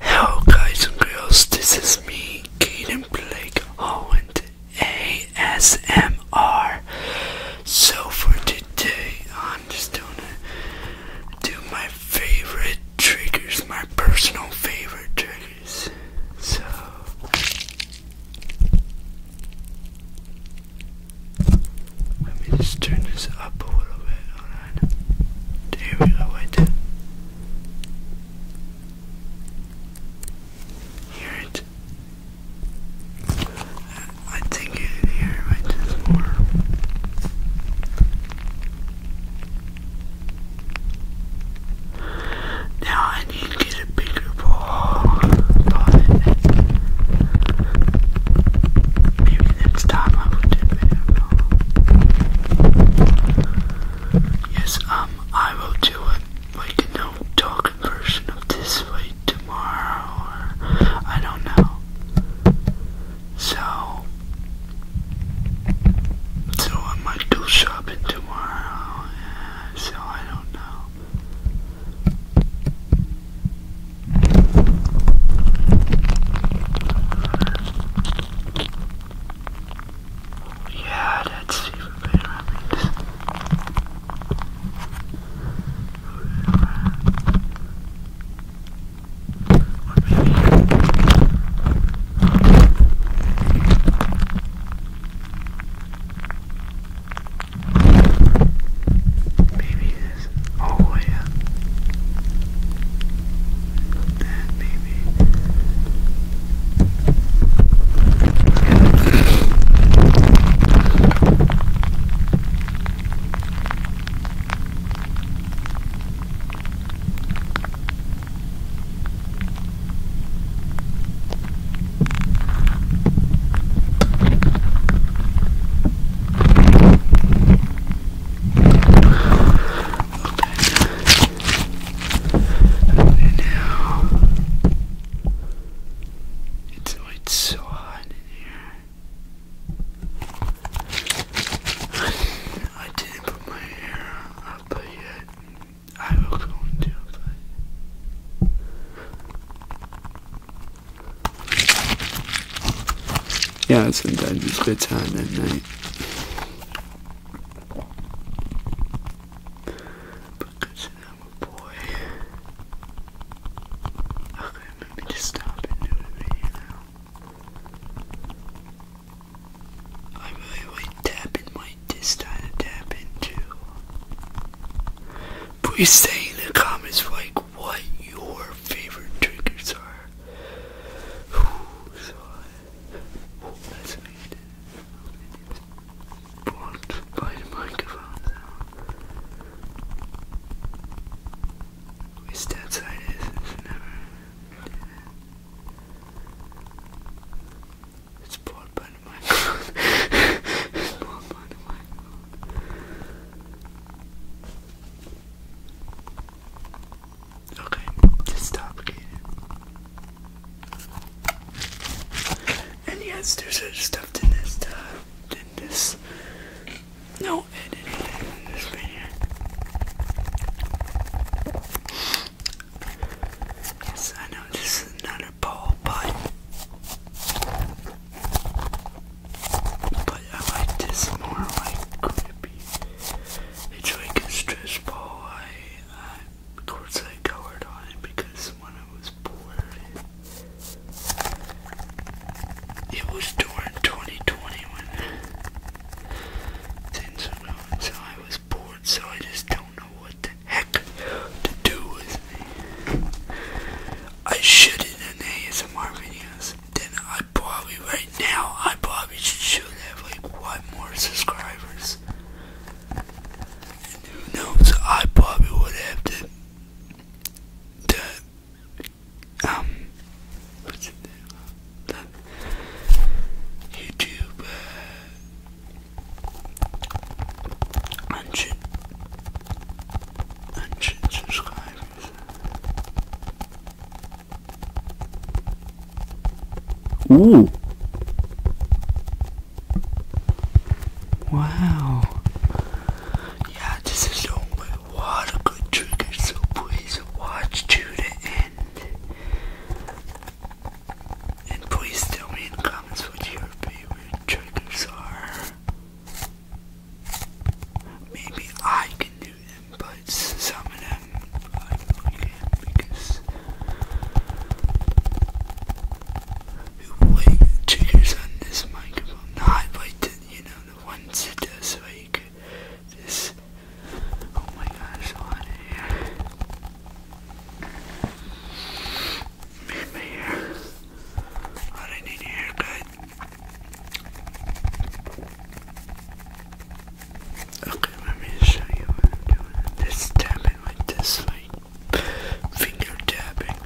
Hello guys and girls, this is me, Kaden Blake Owen, ASMR. So for today, I'm just gonna do my favorite triggers, my personal favorite triggers. So. Let me just turn this up a little bit. There we go, right there. it? I think you can hear it more. Now I need to get a bigger ball, maybe next time I will do a bigger ball. Yes, um, I will do it like no talk version of this like tomorrow I don't know. So so I might go shopping tomorrow, so I don't know. Yeah, that's even better, Or maybe Oh yeah. Then maybe it's, so hot in here. I didn't put my hair up but yet. I will go yeah, sometimes it's bedtime at night. Because I'm a boy. Okay, maybe just stop and do a video now. I really tapping like this tapping too. Please say in the comments like what your favorite triggers are. Ooh, so I, oh, by the microphone sound. Waste outside is never. It's bought by the by the microphone. Okay, just And yes, there's stuff in this, uh, in this, no Yes, I know this is another poll, but but I like this more like grippy. It's like a I, I of course on it because when I was bored it, was during 2020 when things so I was bored so I just don't know what the heck to do with me. I should in an ASMR videos. Then I I probably right now I probably should have like one more subscribers. And who knows? I probably would have to, to um YouTube uh, hundred hundred subscribers. Ooh. Wow. Yeah, this is so what a good trigger, so please watch to the end. And please tell me in comments what your favorite triggers are. Maybe I can do but some of them I forget because like the triggers on this microphone, not like you know, the ones that does like this, oh my gosh, a lot hair, made my hair, I need a haircut. Okay, let me show you what I'm doing. Just tapping like this, finger tapping.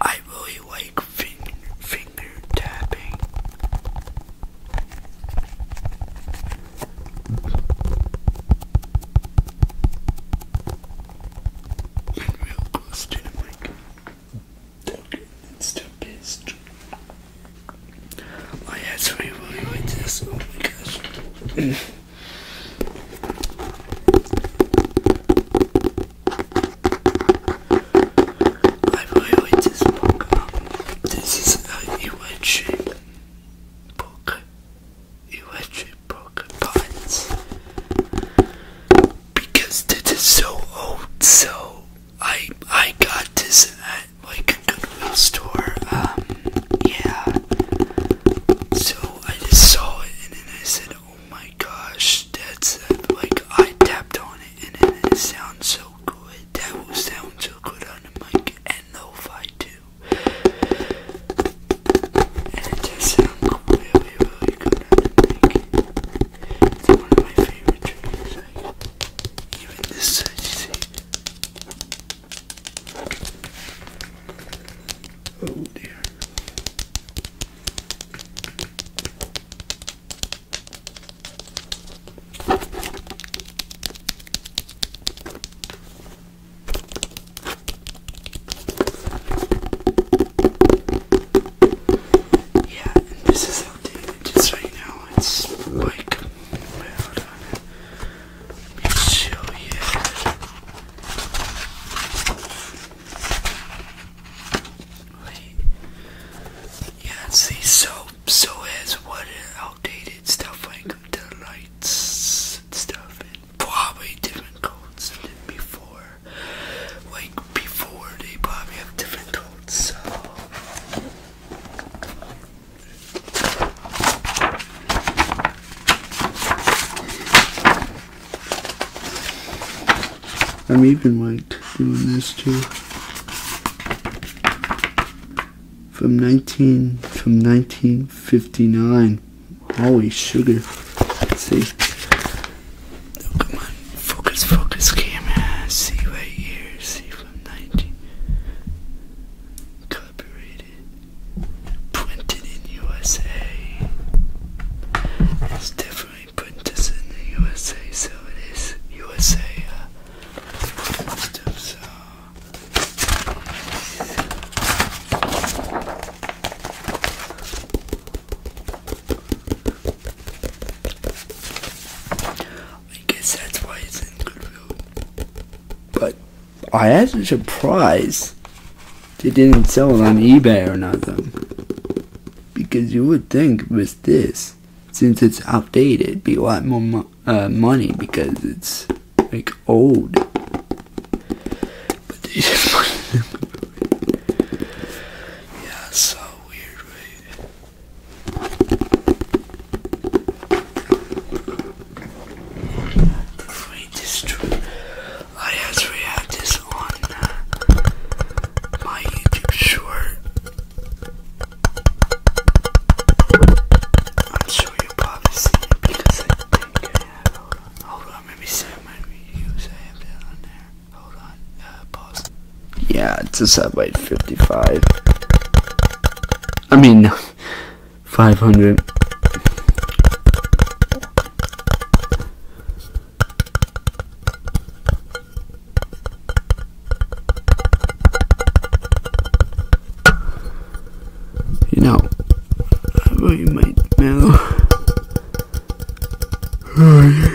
I really like finger finger tapping. Real close to it's too pissed. My ass will really this. Oh my gosh. I really like this book. This is an electric book. Electric book pots. Because this is so old, so I I got this at like a Goodwill store. Um, yeah. So I just saw it and then I said, "Oh my gosh, that's like I tapped on it and then it sounds so good. That will sound so good on the mic and lo-fi too. And it does sound really, really good on the mic. It's one of my favorite tracks side. Even this side, you see. Oh dear. Yeah, and this is outdated just right now. It's like, wait, hold on. Let show you. Wait. Yeah, see, so, so is what outdated stuff like the lights stuff, and probably different codes than before. Like, before, they probably have different I'm even like doing this too. From 19 from 1959. Holy sugar. Let's see come on, focus, focus, camera. See right here, see from 90. Copyrighted, printed in USA. It's definitely printed in the USA, so it is USA. Uh, so. I guess that's why it's in Goodwill. But I had a surprised they didn't sell it on eBay or nothing. Because you would think with this, since it's outdated, be a lot more uh, money because it's like old. But this is put Yeah, so weird, Wait, I actually have this on uh, my YouTube short. I'm sure you probably see it because I think Hold on, hold on, maybe my videos I have that there. Uh, yeah, it's a satellite 55. I mean, 500. You know, I really might know.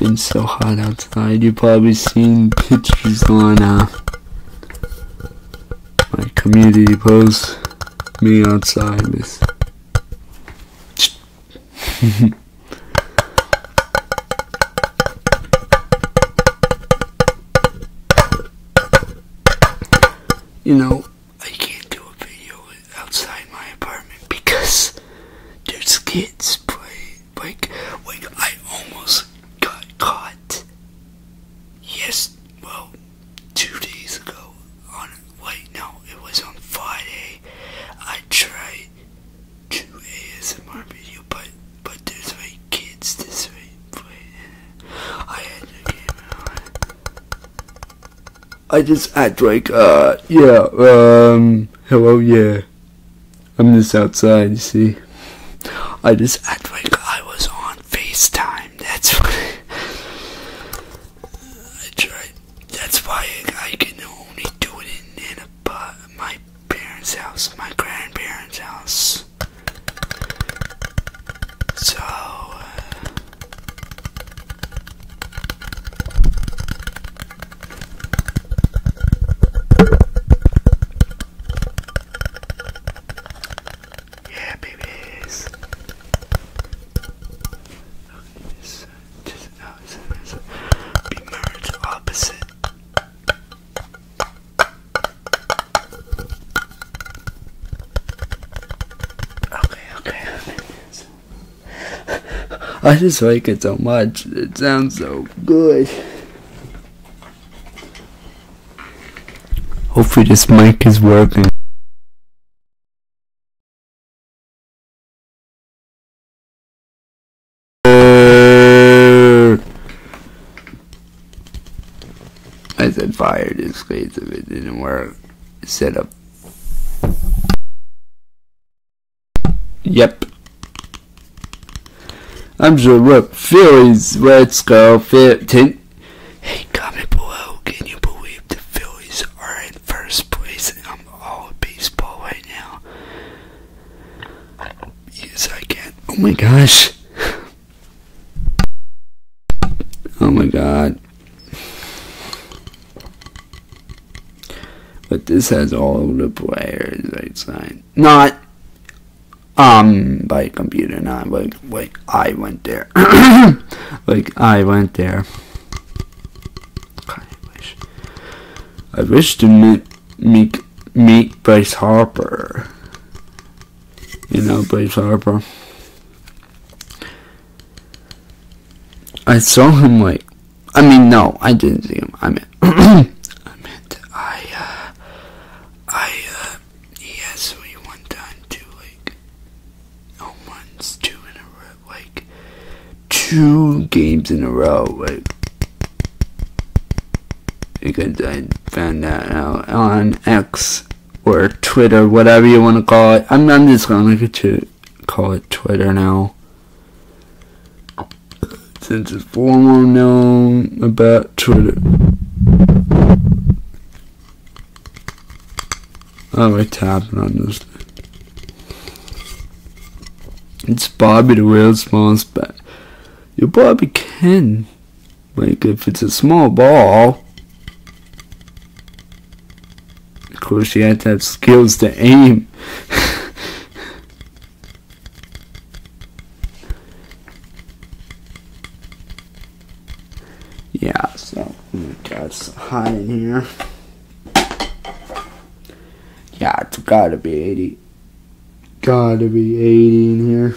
It's been so hot outside. you probably seen pictures on my community post. Me outside with. you know. I can't do a video outside my apartment because there's kids playing. Like, like I almost got caught. Yes, well, two days ago. On wait, no, it was on Friday. I tried to ASMR video, but but there's like kids this way. I had to get I just act like, uh, yeah, um, hello, yeah. I'm just outside, you see. I just act like I was on FaceTime. That's why I tried. That's why I can only do it in, in a, my parents' house, my grandparents' house. So. Uh, yeah, babies. Just, just, no, it's, it's, be marriage opposite. Okay, okay, okay. So, I just like it so much. It sounds so good. Hopefully this mic is working. I said fire this case if it didn't work. Set up Yep. I'm sure what Phillies, let's go, 15. Hey, comment below, can you believe the Phillies are in first place in all baseball right now? Yes, I can. Oh my gosh. Oh my god. But this has all the players signed, Not um by computer, not like like I went there. like I went there. I wish I wish to meet meet meet Bryce Harper. You know Bryce Harper. I saw him like, I mean, no, I didn't see him. I meant, I meant, I, uh, I, uh, he asked me one to like, oh, two in a row, like, two games in a row, like, because I found that out on X or Twitter, whatever you want to call it. I'm, I'm just gonna make it to call it Twitter now. Since it's far more known about Twitter. I Oh, what's happening on this? It's Bobby the world's smallest bat. Your Bobby can. Like, if it's a small ball, of course, you had to have skills to aim. yeah, so, oh my god, it's hot in here. Yeah, it's gotta be 80. Gotta be 80 in here.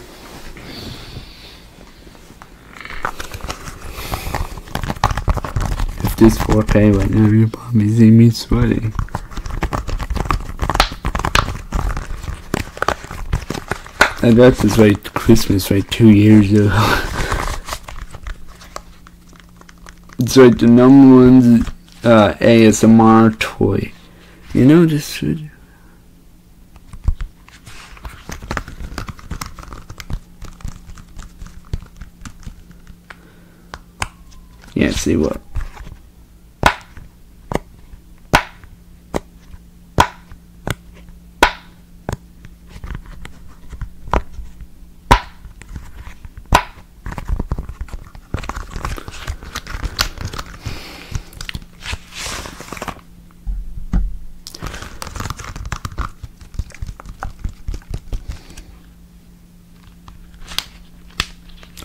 If this 4K right now, you probably see me sweating. And that's just like Christmas, right two years ago. it's like the number one uh, ASMR toy. You know this. Yeah, see what?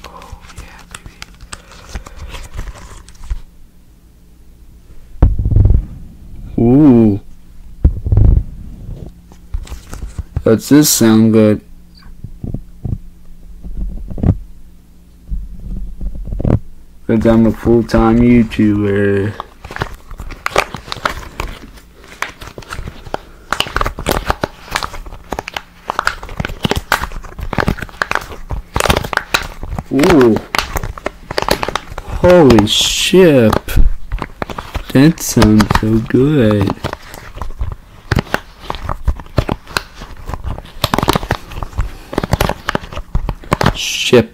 Oh, yeah, baby. Ooh. Does this sound good? Cause I'm a full-time YouTuber. Ooh. Holy ship. That sounds so good. Ship.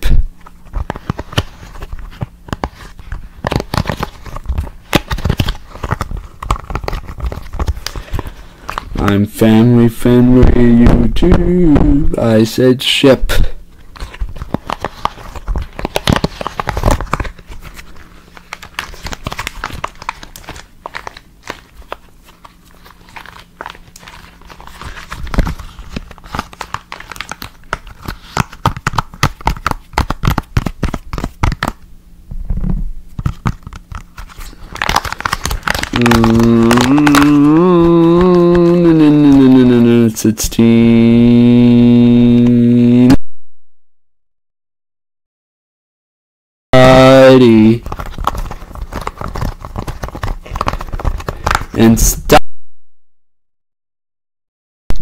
I'm family friendly YouTube. I said ship. Sixteen. Buddy. And stop.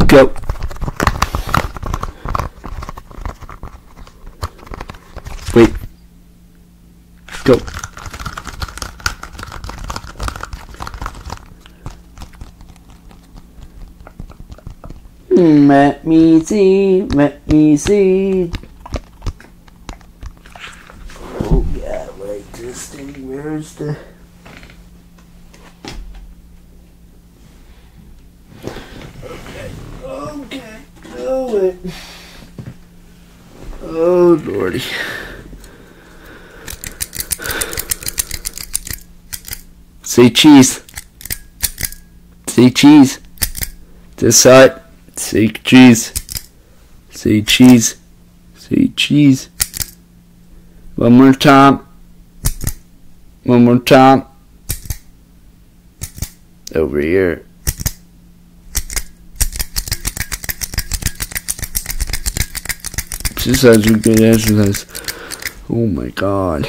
Go. Wait. Go. Let me see, let me see. Oh yeah, wait, this thing, where's the... Okay, okay, do it. Oh, lordy. Say cheese. Say cheese. This side. Say cheese. Say cheese. Say cheese. One more time. One more time. Over here. This is such a good exercise. Oh my god.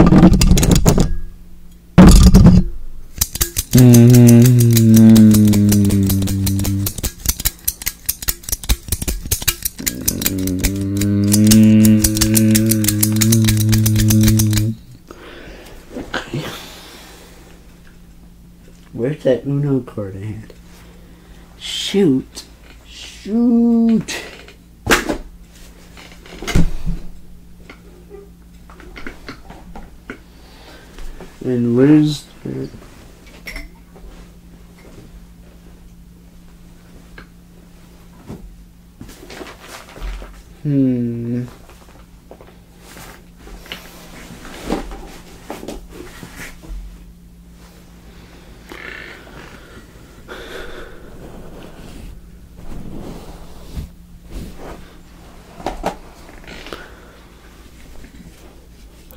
Okay. Mm-hmm. Where's that Uno card I had? Shoot. Shoot. And where's Hmm.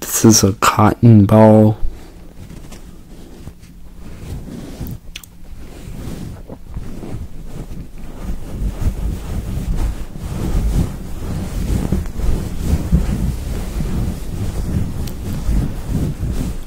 This is a cotton ball.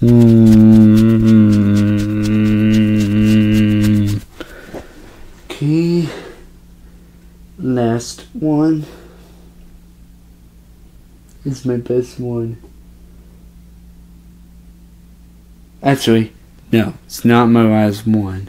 Mm. Mm-hmm. Okay. Last one It's my best one. Actually, no, it's not my last one.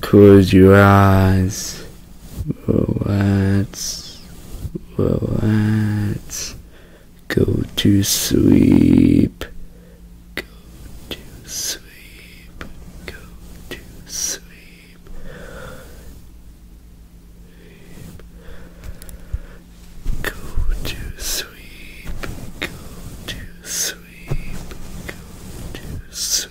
Close your eyes. Relax. Relax. Go to sleep. Go to sleep. Go to sleep. Go to sleep. Go to sleep. Go to sleep.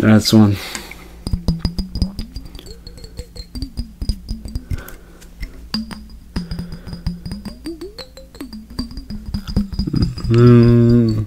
That's one. Mm.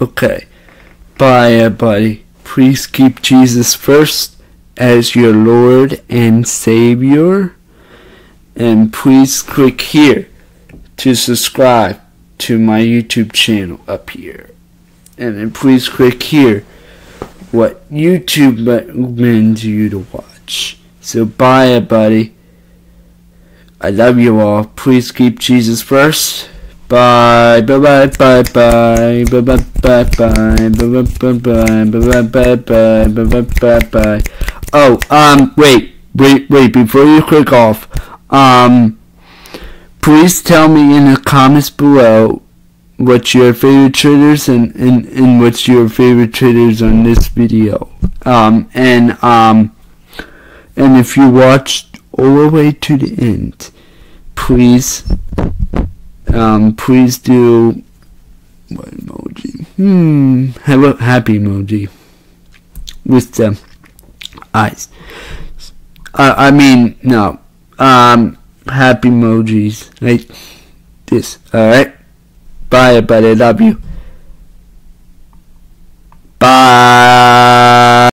Okay. Bye, everybody. Uh, please keep Jesus first as your Lord and Savior. And please click here to subscribe to my YouTube channel up here. And then please click here what YouTube recommends you to watch. So bye, everybody. I love you all now. Please keep Jesus first. Bye bye bye bye bye bye bye bye bye bye bye bye bye bye bye bye bye bye. Oh, um, wait, wait, wait. Before you click off, um, please tell me in the comments below what's your favorite traders and, and, and what's your favorite traders on this video. Um, and, um, and if you watched all the way to the end, please, um, please do what emoji? Hmm, hello, happy emoji with the eyes. Uh, I mean, no, um, happy emojis like this. All right, bye, everybody. Love you. Bye.